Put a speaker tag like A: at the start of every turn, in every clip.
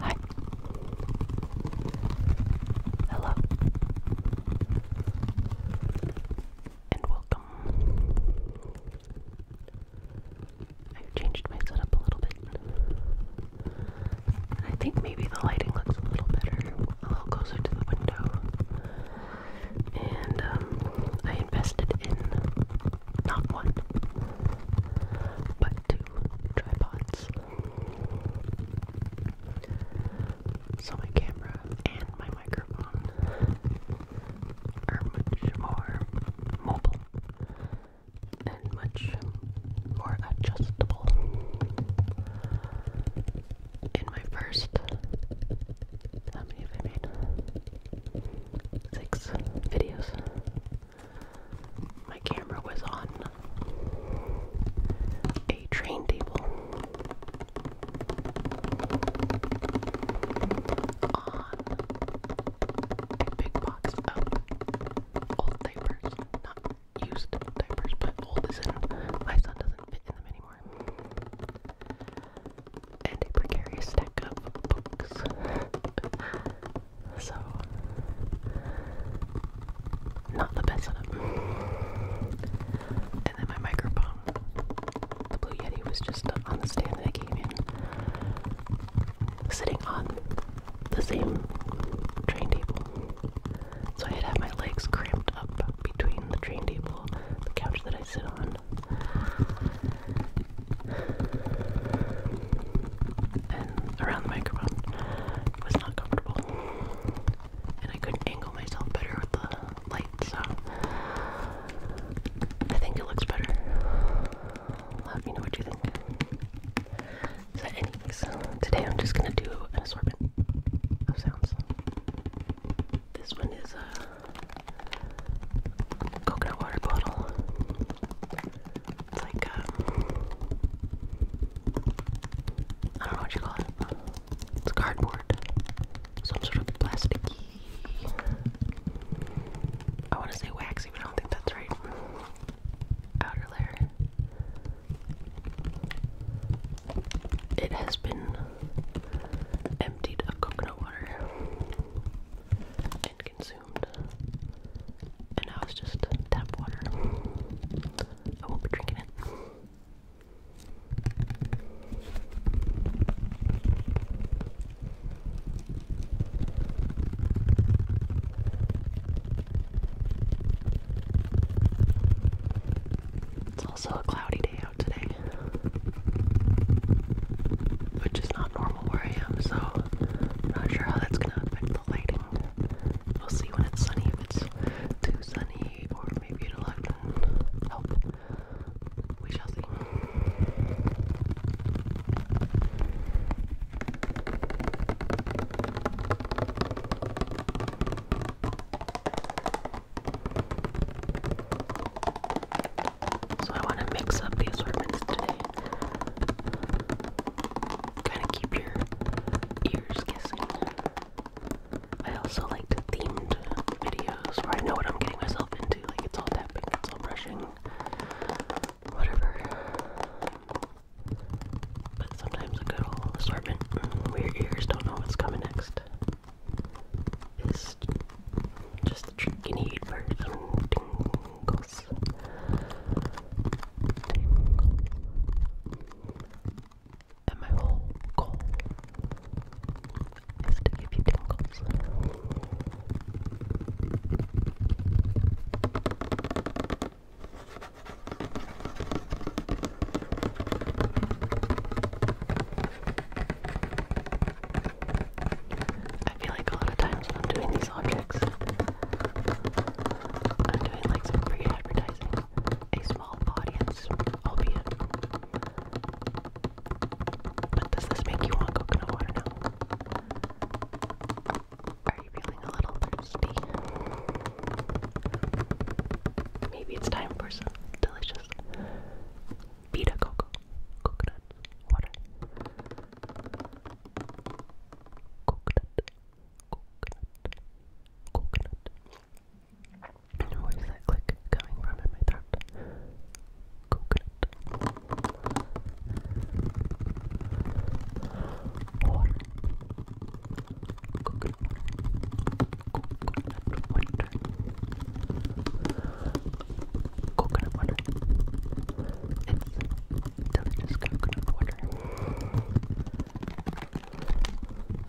A: Hi. Hello. And welcome. i changed my setup a little bit. I think maybe the lighting looks a little better, a little closer to the window and um, I invested in not one, but two tripods. So my camera and my microphone are much more mobile and much more adjustable in my first how many have I made? Six videos. My camera was on a train table on a big box of old diapers. Not used diapers, but old is my son doesn't fit in them anymore and a precarious stack of books. so, not the best setup. And then my microphone, the Blue Yeti, was just on the stand that I came in, sitting on the same train table. So I'd have my legs cramped up between the train table, the couch that I sit on, around the microphone was not comfortable. And I couldn't angle myself better with the light, so I think it looks better. Let me know what you think. So anyways, today I'm just gonna do an assortment of sounds. This one is uh coconut water bottle. It's like, um, I don't know what you call it. It's cardboard. Some sort of plasticky. I want to say waxy, but I don't think that's right. Outer layer. It has been emptied of coconut water and consumed. And now it's just tap water. I won't be drinking it. It's also a cloudy day, which is not normal where I am, so I'm not sure how that's gonna affect the lighting. We'll see when it's sunny, if it's too sunny, or maybe it'll help. We shall see. So I want to mix up the assortments today. Kind of keep your ears guessing. I also like to themed videos where I know what I'm getting myself into. Like it's all tapping, it's all brushing, whatever. But sometimes a good old assortment mm, where your ears don't know what's coming next is just the trick you need for some Tingles. And my whole goal is to give you tingles. I feel like a lot of times when I'm doing these objects, I'm doing like some free advertising. A small audience, albeit. But does this make you want coconut water Are you feeling a little thirsty? Maybe it's time for some delicious Vita Coco, coconut water. Coconut, coconut, coconut. And where's that click coming from in my throat? Coconut. Water. Coconut. Coconut water coconut water. delicious coconut water.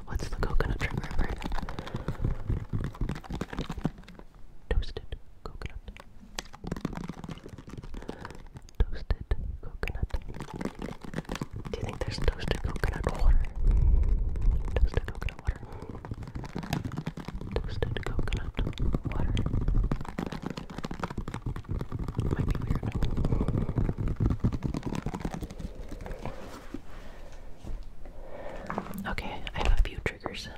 A: What's the coconut trigger word? Toasted coconut. Toasted coconut. Do you think there's toasted coconut water? Toasted coconut. Toasted coconut water. Might be weird. Okay, I have a few triggers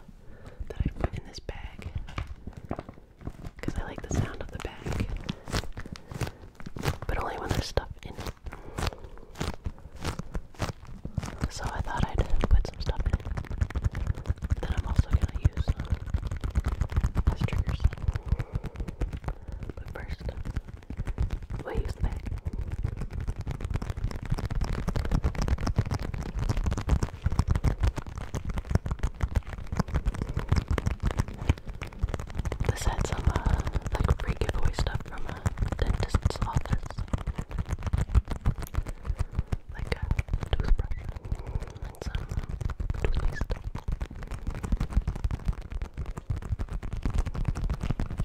A: that I put in this bag because I like the sound of the bag, but only when there's stuff in it. So I thought I'd put some stuff in that I'm also gonna use as triggers. But first, we'll use the bag. This had some uh, like free giveaway stuff from a uh, dentist's office like a toothbrush and some uh, toothpaste. I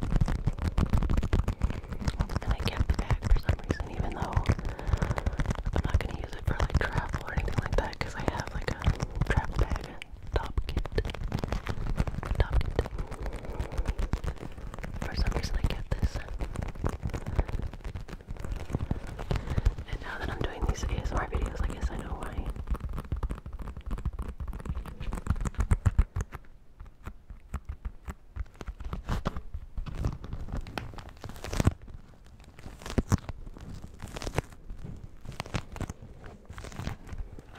A: kept the bag for some reason, even though I'm not going to use it for like travel or anything like that, because I have like a travel bag, top kit. For some reason, I get this. And now that I'm doing these ASMR videos, I guess I know why.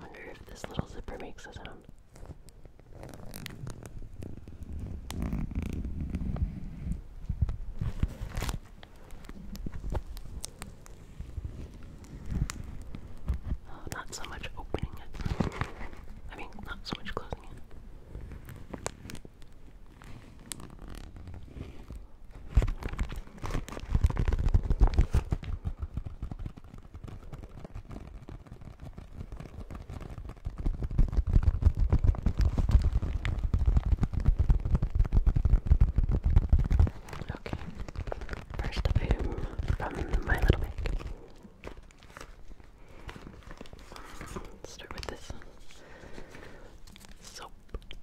A: Wonder if this little zipper makes a sound. Uh, not so much opening it. I mean, not so much closing it. Okay, first item from my little bag. start with this soap.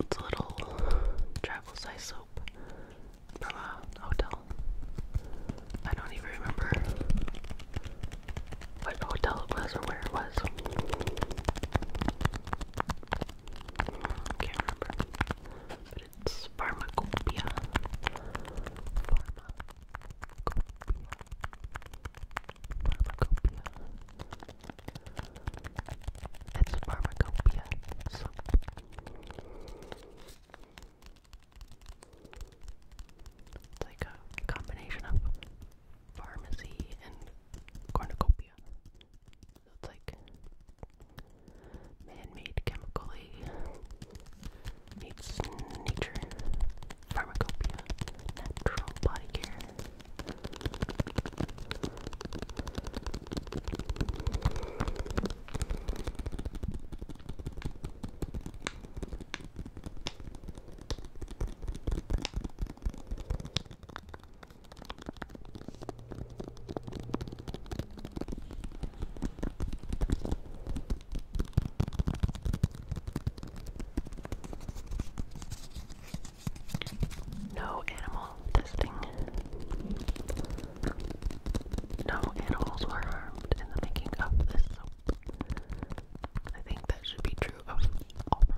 A: It's a little travel size soap from a hotel. I don't even remember what hotel it was or where it was. Can't remember. it's Pharmacopoeia. Pharmacopoeia. It's Pharmacopoeia. It's like a combination of pharmacy and cornucopia. So it's like man-made chemically meets nature, pharmacopoeia, natural body care. No animal testing. No animals were harmed in the making of this soap. I think that should be true of all products.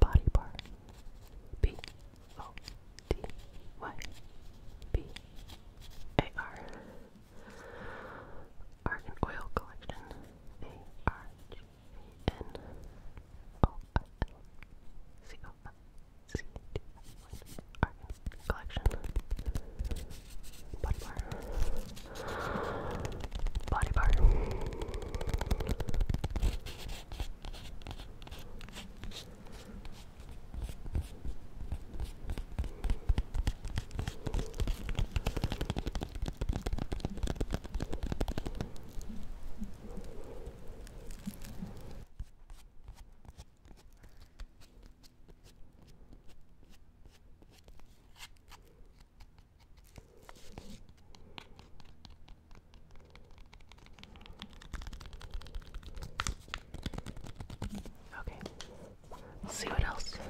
A: Body part B O D Y B A R Argan Oil Collection A R G N O L C O C D R collection body bar body bar Okay. Let's see what else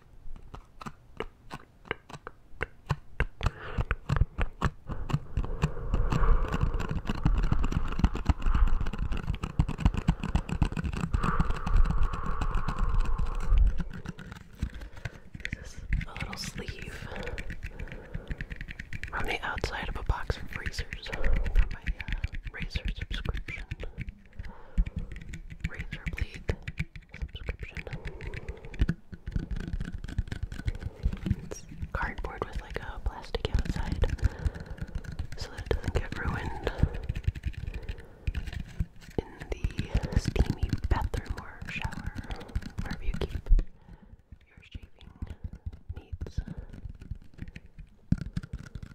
A: This is a little sleeve from the outside of a box of razors from my uh, razor subscription razor blade subscription. cardboard with like a plastic outside so that it doesn't get ruined in the steamy bathroom or shower, wherever you keep your shaving needs.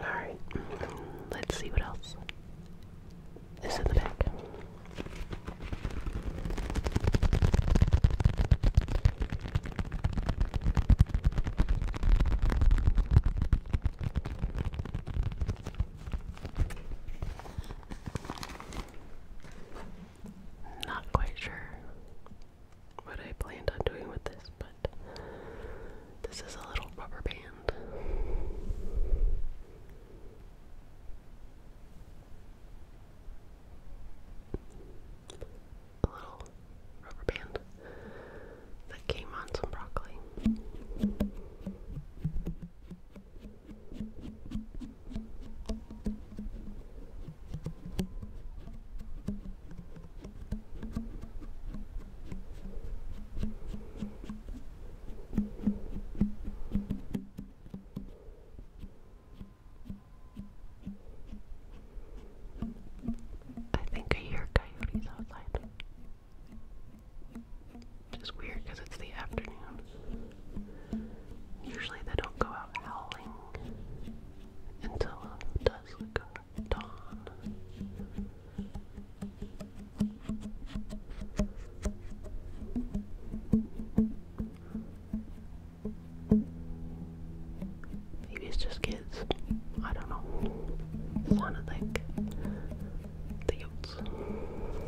A: Alright, let's see what else is in the back. Not quite sure what I planned on doing with this, but this is a little rubber band. A little rubber band that came on some broccoli. I think I hear coyotes outside. Just weird because it's the afternoon. Usually they don't go out howling until it does dawn. Maybe it's just kids. I don't know. Sounded like the yotes.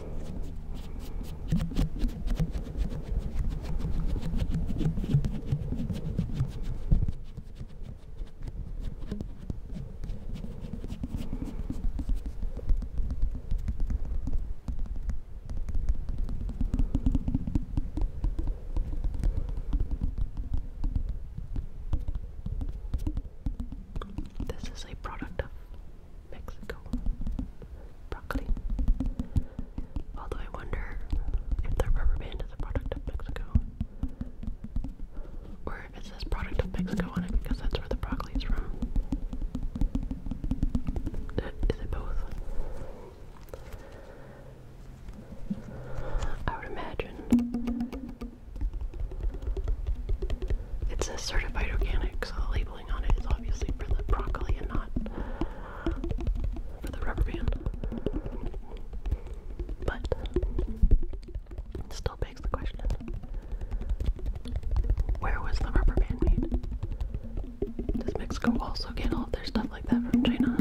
A: This is a product of Mexico broccoli. Although I wonder if the rubber band is a product of Mexico. Or if it says product of Mexico on it because that's where the broccoli is from. Is it both? I would imagine. It says certified organic, so the label it is obviously for the broccoli and not for the rubber band. But still begs the question where was the rubber band made? Does Mexico also get all of their stuff like that from China?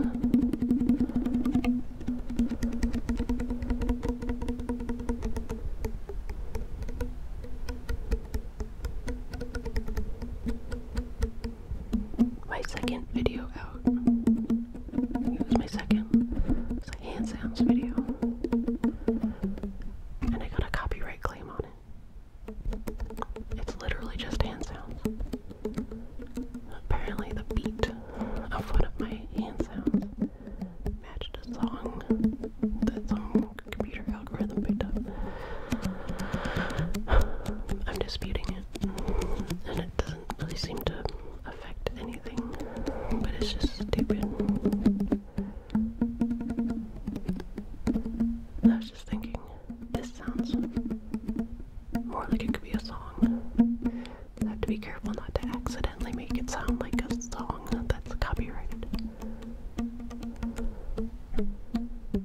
A: my second video out. It was my second. It's a handsounds video. And I got a copyright claim on it. It's literally just hand Apparently, the beat of one of my handsounds matched a song that song computer algorithm picked up. I'm disputing it, and it doesn't really seem to affect anything, but it's just stupid. I was just thinking, this sounds more like it could be a song. I have to be careful not to accidentally make it sound like a song that's copyrighted.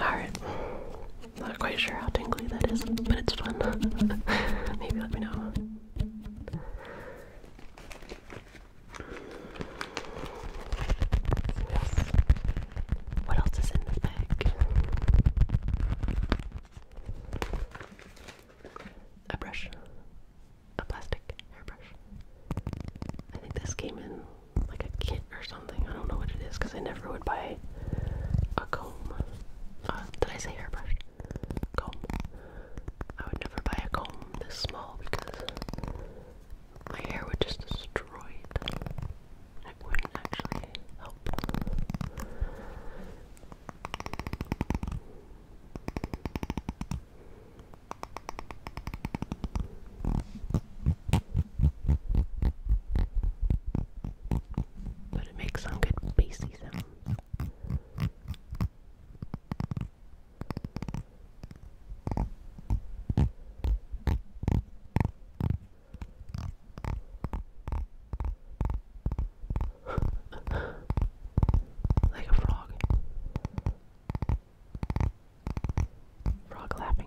A: Alright. Not quite sure how tingly that is, but it's fun. Maybe let me know. What else is in this bag? A brush a plastic hairbrush. I think this came in like a kit or something. I don't know what it is because I never would buy a comb. Uh, did I say hairbrush? Comb. I would never buy a comb this small because my hair would just destroy it. It wouldn't actually help. But it makes some good bassy sounds. like a frog. Frog lapping.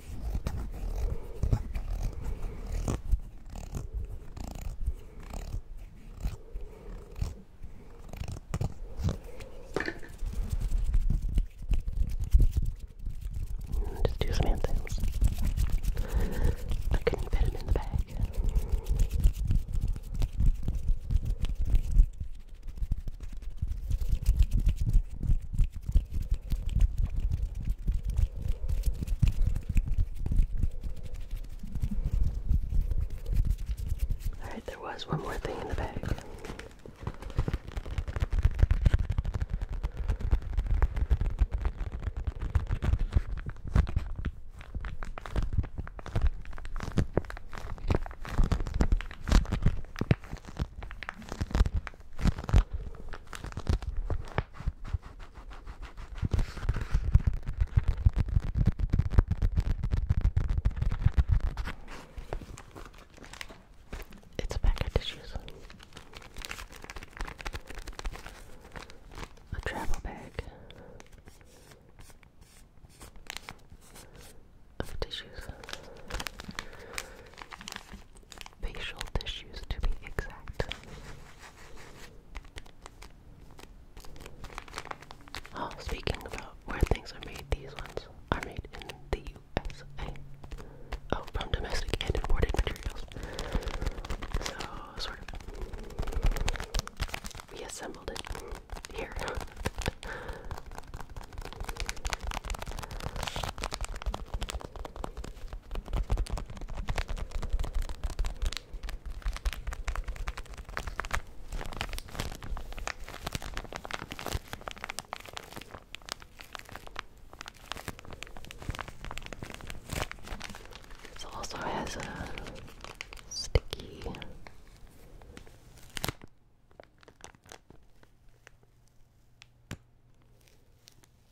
A: Just do some hand things. I couldn't fit him in the bag. Alright, there was one more thing in the bag. It's a pack of tissues. A travel bag of tissues facial tissues to be exact. Oh, speaking about where things are made, these ones are made in the USA. Oh, from domestic and imported materials. So, sort of, we assembled it here. This also has a sticky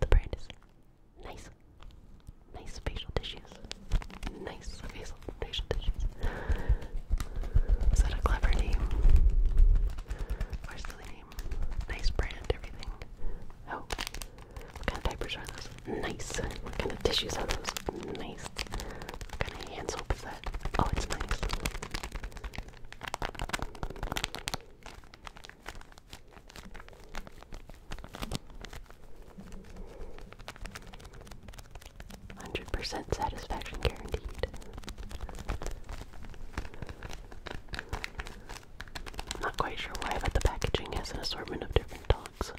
A: The nice. Nice facial tissues. Nice facial, facial tissues. Is that a clever name? Or silly name? Nice brand, everything. Oh, what kind of diapers are those? Nice. What kind of tissues are those? Nice. kind of hand soap is that? Oh, it's nice. Hundred percent satisfaction guaranteed. Not quite sure why, but the packaging has an assortment of different dogs.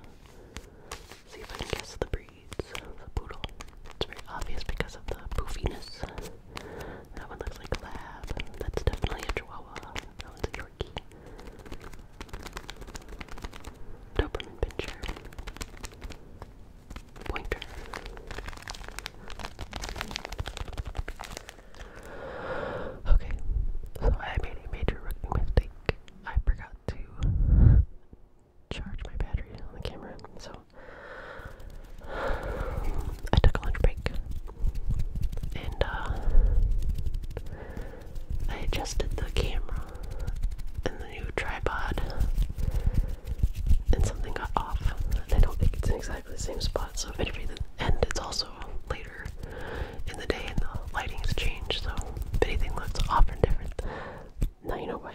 A: See if I can guess the breed the poodle. It's very obvious because of the poofiness. That one looks like lab. That's definitely a chihuahua. That a Yorkie. Doberman pincher. Pointer. Okay, so I made a major rookie mistake. I forgot to charge my battery on the camera, so I took a lunch break and uh, I adjusted the camera and the new tripod, and something got off. I don't think it's in exactly the same spot, so if anything, and it's also later in the day and the lighting's changed, so if anything looks off or different, now you know why.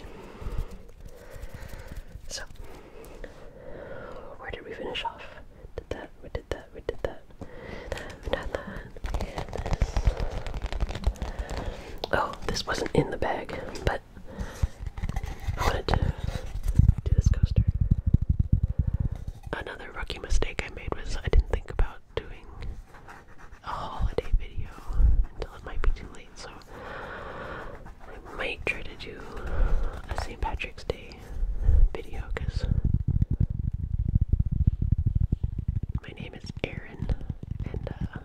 A: So, where did we finish off? Did that, we did that, we did that. We did that. Oh, this wasn't in the bag, but I wanted to do this coaster. Another rookie mistake I made was I didn't think about doing a holiday video until it might be too late, so I might try to do a St. Patrick's Day video because my name is Aaron, and uh,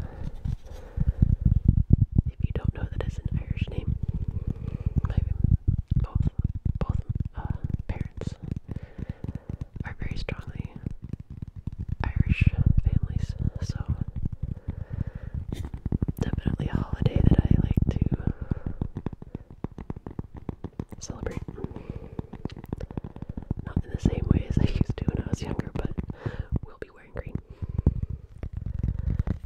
A: if you don't know that an Irish name, my both both uh, parents are very strongly Irish families, so definitely a holiday that I like to celebrate. Not in the same way as I used to when I was younger, but we'll be wearing green.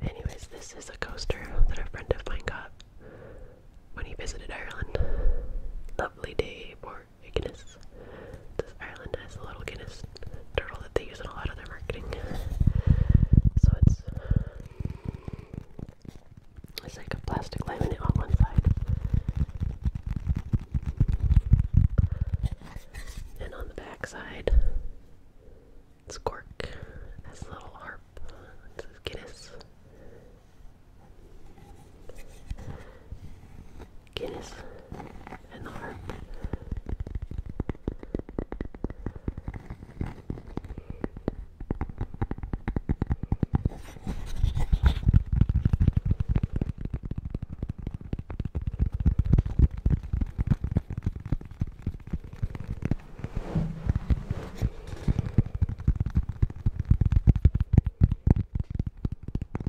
A: Anyways, this is a coaster that a friend of mine got when he visited Ireland. Lovely day for Guinness. This island has a little Guinness turtle that they use in a lot of their marketing. So it's it's like a plastic laminate on one side. And on the back side, it's cork. It has a little harp. Guinness. Guinness and the harp.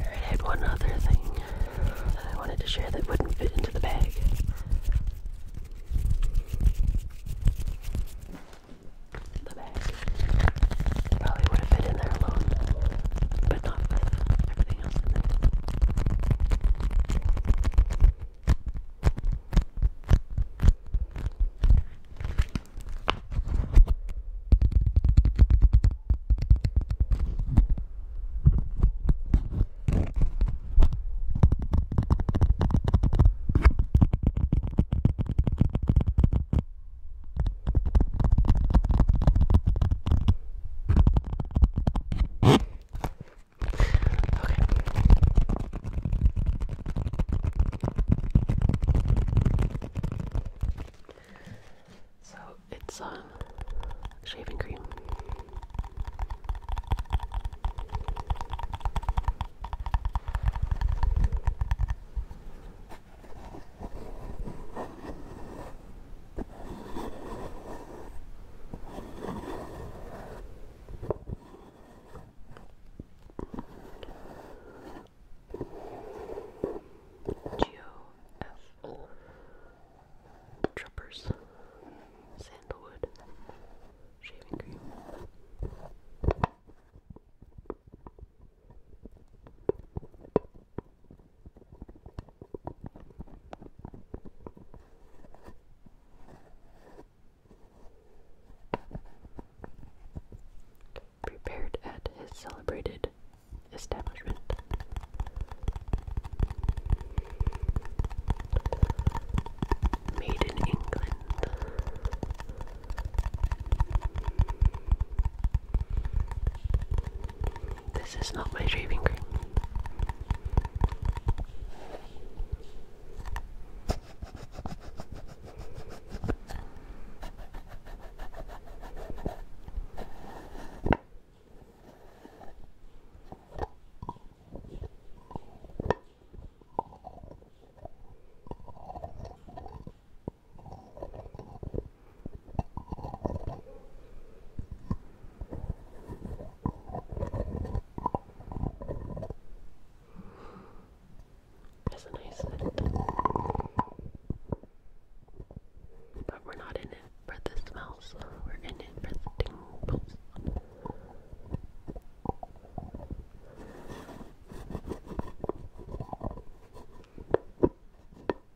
A: I had one other thing that I wanted to share that wouldn't fit into the bag. Probably would have fit in there alone, but not with everything else in there. Okay. So it's um, shaving cream. GOFO Truppers Sandalwood Shaving Cream Prepared at his celebrated establishment. Made in England. This is not my shaving cream. That's a nice But we're not in it for the smells, we're in it for the tingles.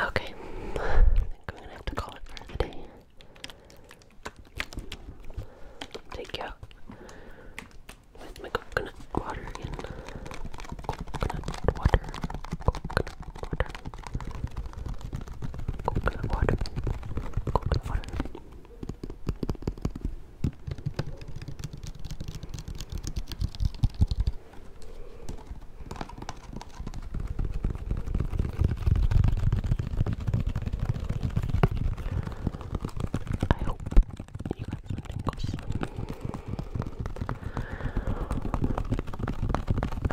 A: Okay, I think I'm gonna have to call it for the day. Take you out with my coconut water again. Coconut water, coconut water, coconut water, coconut water. I hope you got some tingles. I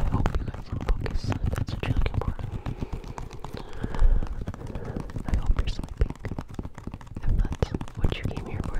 A: hope you got some focus. That's what you're looking for. I hope you're sleeping. that's what you came here for.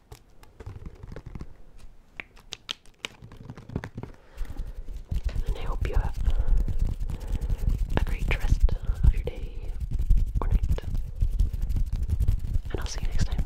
A: I hope you have a great rest of your day or night. And I'll see you next time.